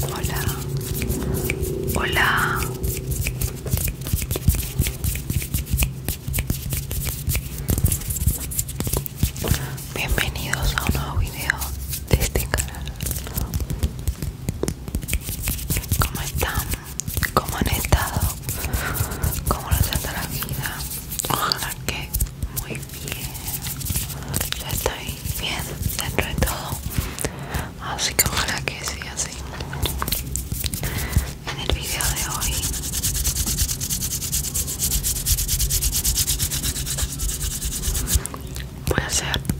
Hola, hola. Bienvenidos a un nuevo video de este canal. ¿Cómo están? ¿Cómo han estado? ¿Cómo lo trata la vida? Ojalá que muy bien. Yo estoy bien dentro de todo. Así que ojalá que sí, así. En el video de hoy voy a hacer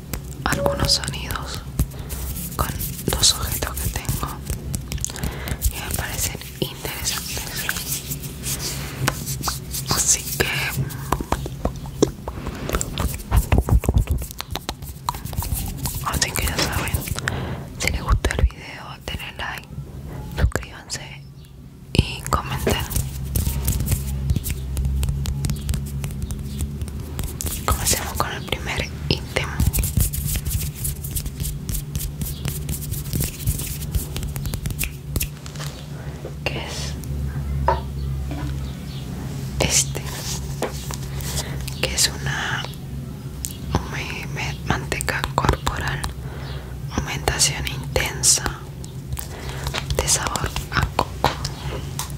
algunos sonidos con los objetos que tengo y me parecen interesantes así que así que ya saben si les gustó el video denle like suscríbanse y comenten Comencemos con el primer ítem. Que es este, que es una manteca corporal, aumentación intensa de sabor a coco.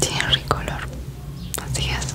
tiene rico olor así es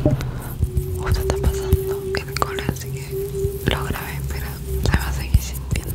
¿Qué está pasando el cola, así que lo grabé, pero se va a seguir sintiendo.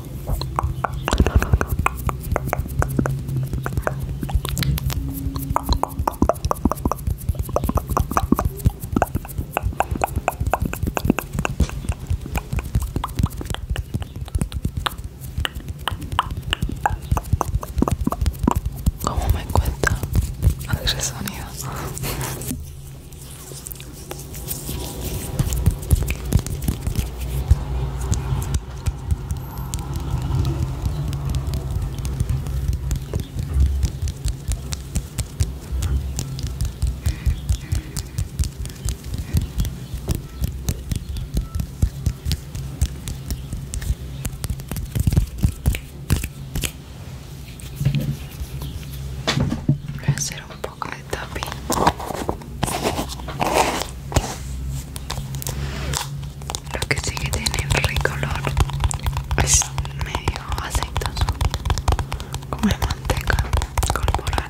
¿Cómo me cuenta hacer sonido? Voy a hacer un poco lo que sí que tiene rico recolor es medio aceitoso, como la manteca corporal.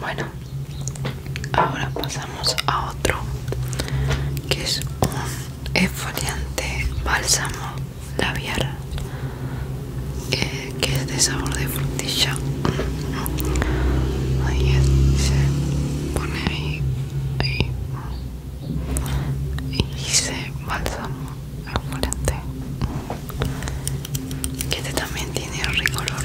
Bueno, ahora pasamos a otro que es un esfoliante bálsamo labial eh, de sabor de frutilla ahí se pone ahí, y se balsamo al que este también tiene rico olor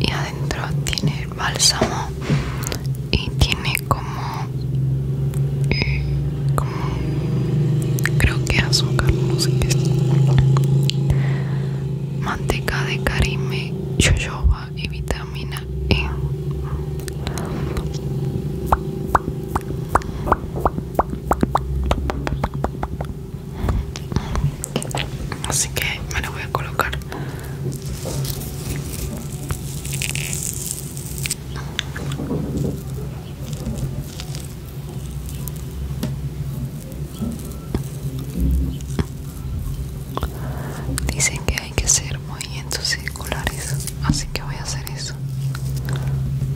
y adentro tiene bálsamo y tiene eh, como creo que azúcar no sé qué es manteca de carime jojoba y vitamina E Así que me lo voy a colocar. Dicen que hay que ser muy circulares, así que voy a hacer eso.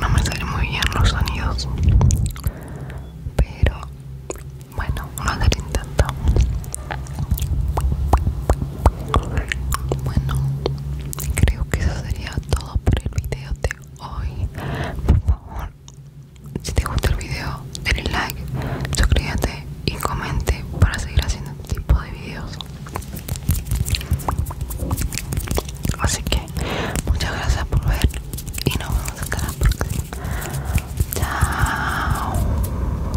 No me salen muy bien los sonidos, pero bueno, una a intentamos. Bueno, creo que eso sería todo por el video de hoy. Por favor, si te gusta el video, denle like, suscríbete y comente para seguir haciendo este tipo de videos. Así que muchas gracias por ver y nos vemos hasta la próxima. Chao.